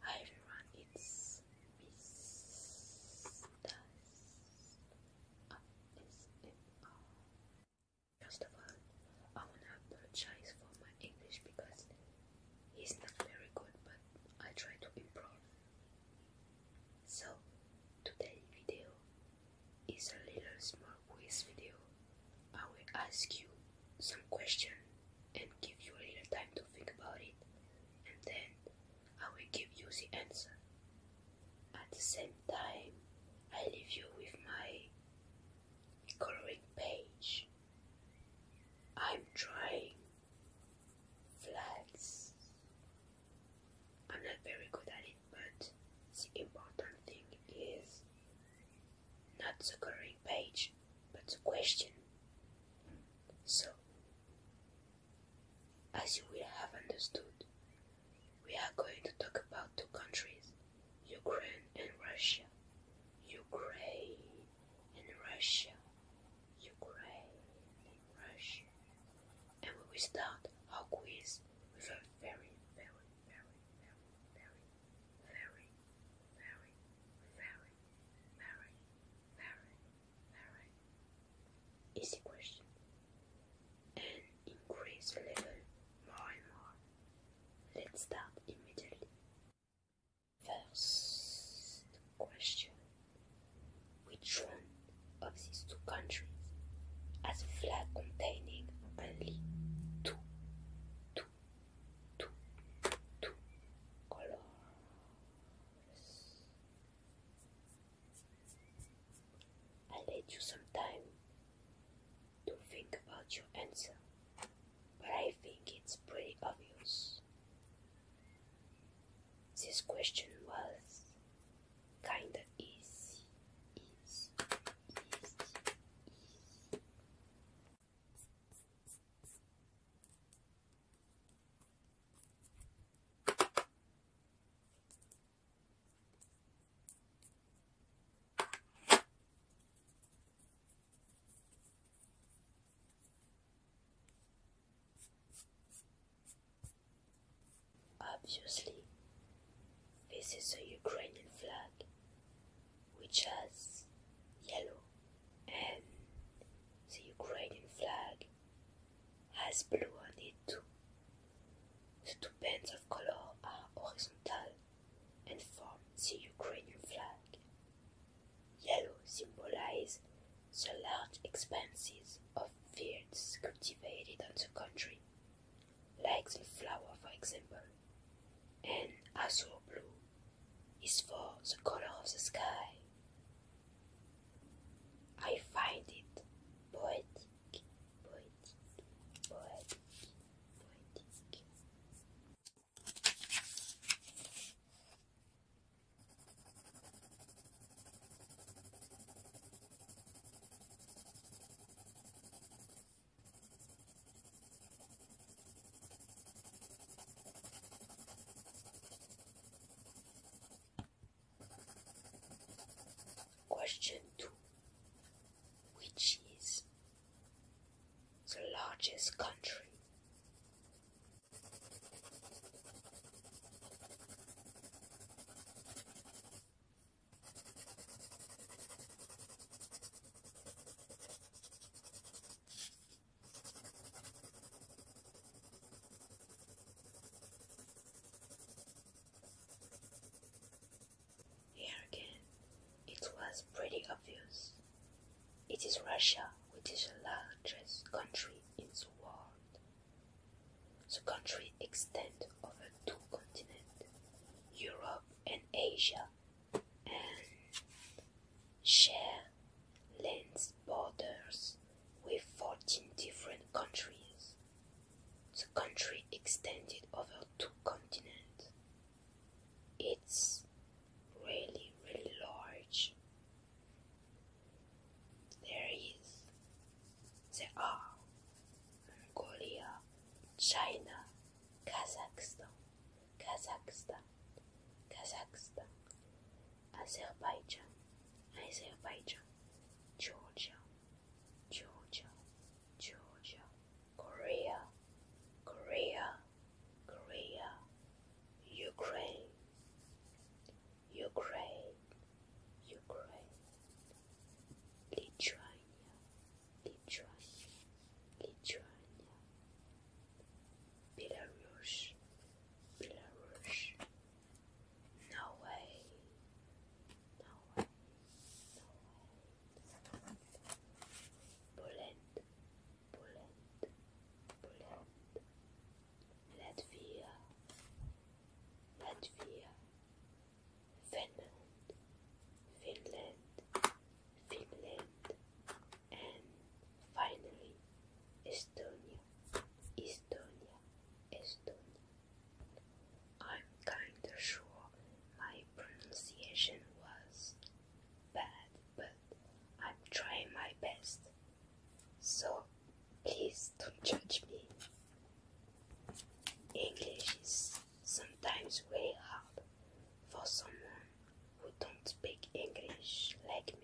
Hi everyone, it's Miss First of all, I wanna apologize for my English because it's not very good, but I try to improve. So today's video is a little small for this video. I will ask you some questions and give you a little time to think about it, and then I will give you the answer. At the same time, I leave you with my coloring page. I'm trying flags. I'm not very good at it but the important thing is not the current page, but the question. So, as you will have understood, we are going to talk about two countries, Ukraine and Russia. Ukraine and Russia. Ukraine and Russia. And we will start our quiz with a very, very, very, very, very very, very, very, very, very, very easy question and increase level more and more. Let's start immediately. First question Which one of these two countries has a flag containing only two two, two, two colors. i let you some time to think about your answer, but I think it's pretty obvious. This question was kinda easy. Obviously, this is a Ukrainian flag, which has yellow, and the Ukrainian flag has blue on it too. The two bands of color are horizontal and form the Ukrainian flag. Yellow symbolizes the large expanses of fields cultivated on the country, like the flower, for example, and azure blue is for the color of the sky. I find it poetic, poetic, poetic, poetic. Question 2 Which is the largest country? Here again, it was pretty obvious. It is Russia, which is the largest country in the world. The country extends over two continents, Europe and Asia and share lands borders with 14 different countries. The country extended over two continents. It's really, really large. There is, there are Korea, China, Kazakhstan, Kazakhstan, Kazakhstan, Azerbaijan, Azerbaijan, Georgia, Georgia, Georgia, Korea, Korea, Korea, Ukraine, Ukraine, Ukraine, Lithuania, Lithuania, Lithuania, Belarus, Belarus, Norway, Norway, Norway, Poland, Poland, Poland, Latvia, Latvia, Latvia, Finland, Finland, Finland, and finally Estonia, Estonia, Estonia. I'm kinda sure my pronunciation was bad, but I'm trying my best. So please don't judge me. English is sometimes very hard for someone who don't speak English like me.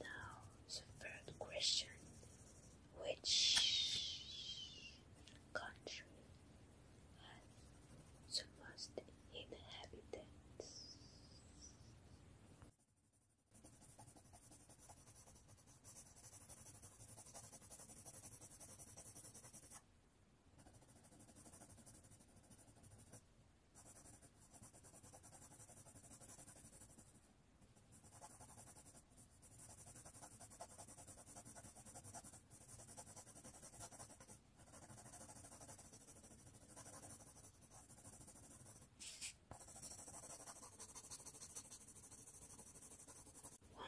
Now, the third question which country has the most inhabitants?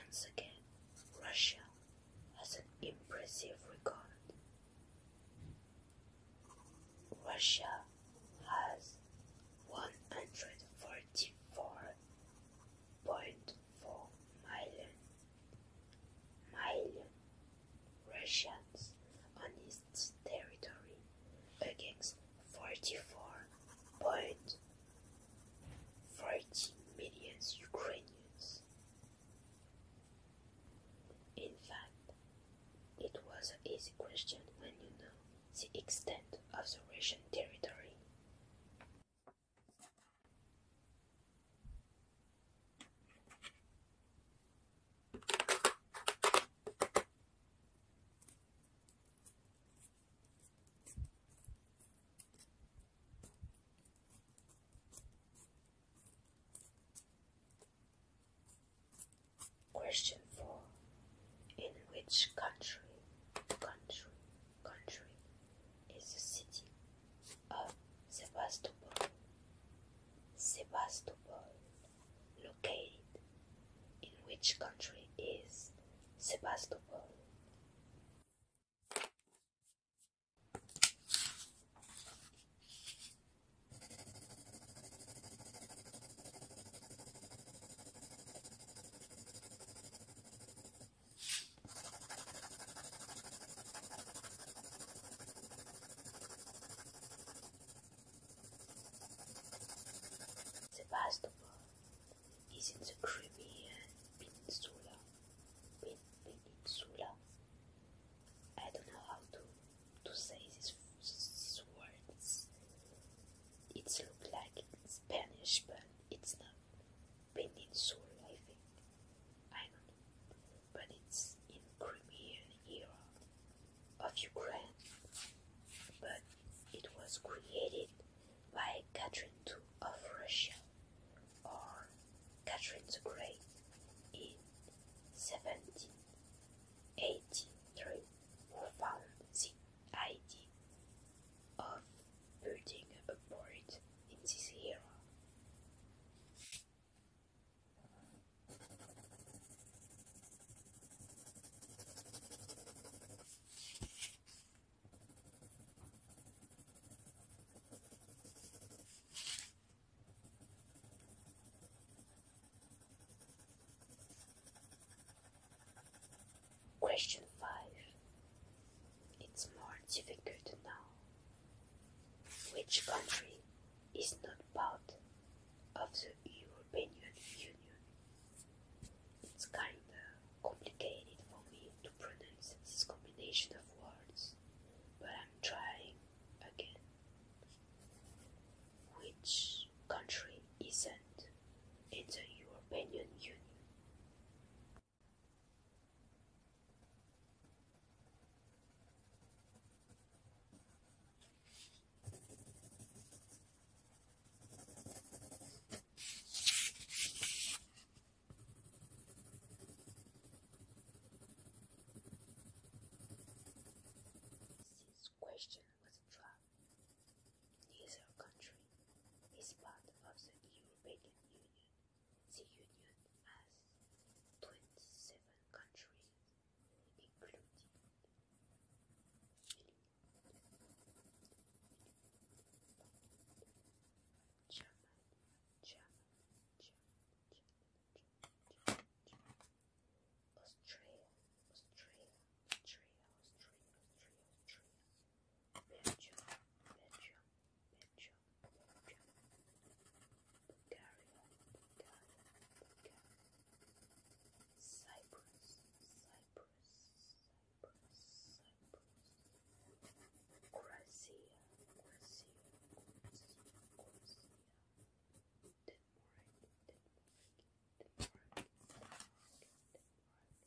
Once again, Russia has an impressive record. Russia has 144.4 million, million Russians on its territory against 44.40 million Ukrainians. In fact, it was an easy question when you know the extent of the Russian territory. Question four. In which country, country, country is the city of Sebastopol? Sebastopol, located in which country is Sebastopol? Sebastopol is in the Crimean Peninsula. Peninsula. I don't know how to, to say these words. It looks like Spanish, but it's not peninsula, I think. I don't know. But it's in Crimean era of Ukraine. But it was created by Catherine II of Russia or Catherine the Great in 1783 who found idea of putting a port in this era. Question 5. It's more difficult now. Which country is not part of the European Union? It's kinda complicated for me to pronounce this combination of words, but I'm trying again. Which country isn't in the European Union question was trap. Neither country is part of the European Union. The Union has 27 countries, including Germany, Germany, Germany, Germany, Germany, Germany, Australia, Austria, Austria, Austria, Austria, Austria. Belgium, Belgium, Belgium, Belgium. Bulgaria, Bulgaria, Bulgaria. Cyprus, Cyprus, Cyprus, Cyprus. Croatia, Croatia, Croatia, Denmark, Denmark, Denmark, Denmark.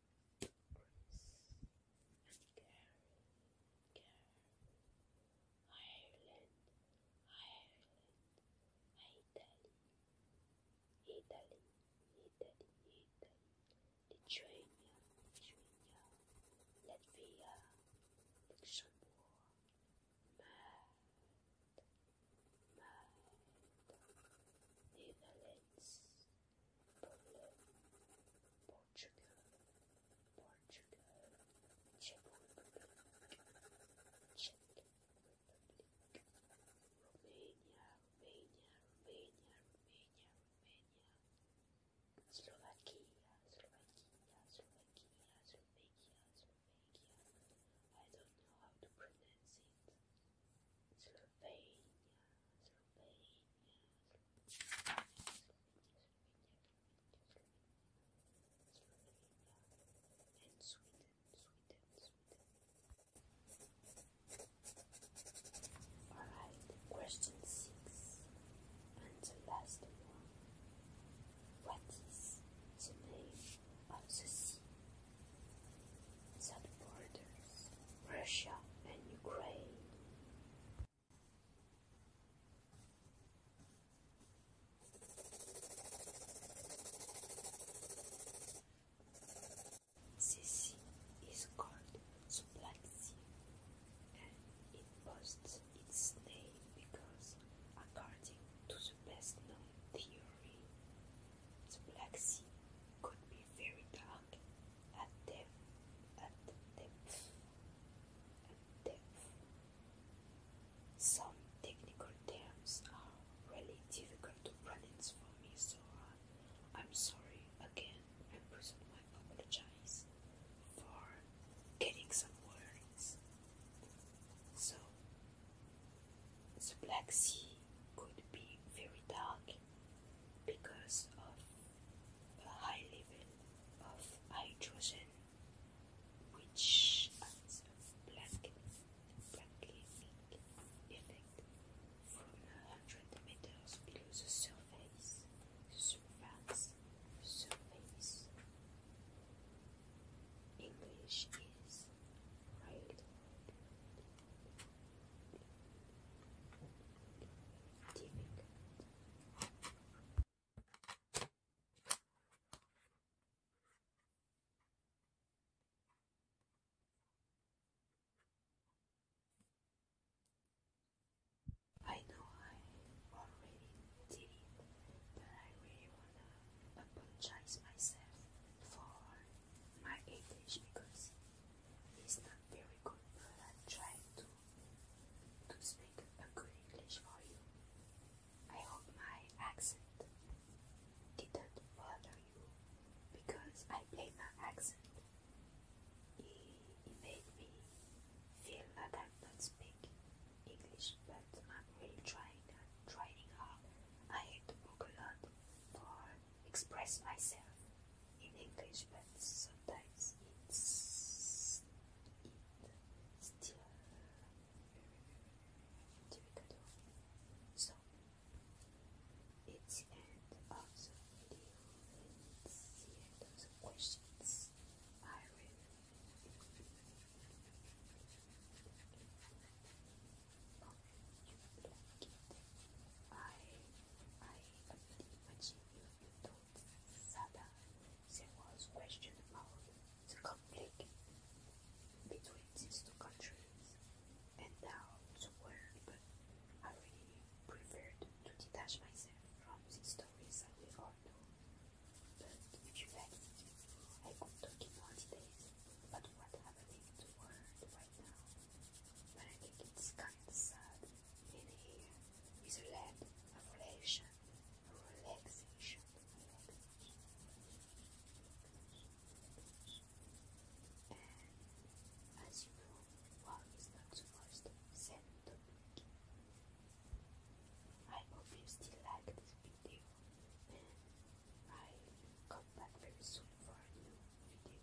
Ireland, Ireland, Italy, Italy, Italy, Italy, Lithuania, Lithuania, Latvia, Luxembourg, Mad, Mad, Netherlands, Portugal, Portugal, Czech Republic, Czech Republic, Romania, Romania, Romania, Romania, Slovakia, Slovakia, Slovakia, Slovakia, Slovakia. I don't know how to pronounce it. Slovenia, Slovenia, Slovenia, Slovenia, and Sweden, Sweden, Sweden. Alright, question six, and the last one. What is the name of the sea that borders Russia, and Ukraine. This is called the Black Sea, and it boasts its name because, according to the best known theory, the Black Sea could be very dark at depth, at depth, at depth. Some technical terms are really difficult to pronounce for me, so uh, I'm sorry again. I presently apologize for getting some words. So, the Black Sea could be very dark because of a high level of hydrogen, which has a blanketing effect from a hundred meters below the surface. surface, surface. English is right. Do you I know I already did it, but I really wanna apologize myself for my English because is not very good, but i try to, to speak a good English for you. I hope my accent didn't bother you because I play my accent. It, it made me feel that I'm not speaking English, but I'm really trying and trying hard. I had to book a lot for express myself in English, but sometimes it's it's difficult. So it's end of the video. It's the end of the questions. I will. I I imagine if you told Sada there was question about the conflict between these two countries and now the world, but I really preferred to detach myself from these stories that we all know. But if you like, I could talk in more details about what's happening in right now but I think it's kind of sad in here is a lack of relation, a relaxation. And as you know, one is not supposed to send the week. I hope you still like this video I come back very soon for a new video.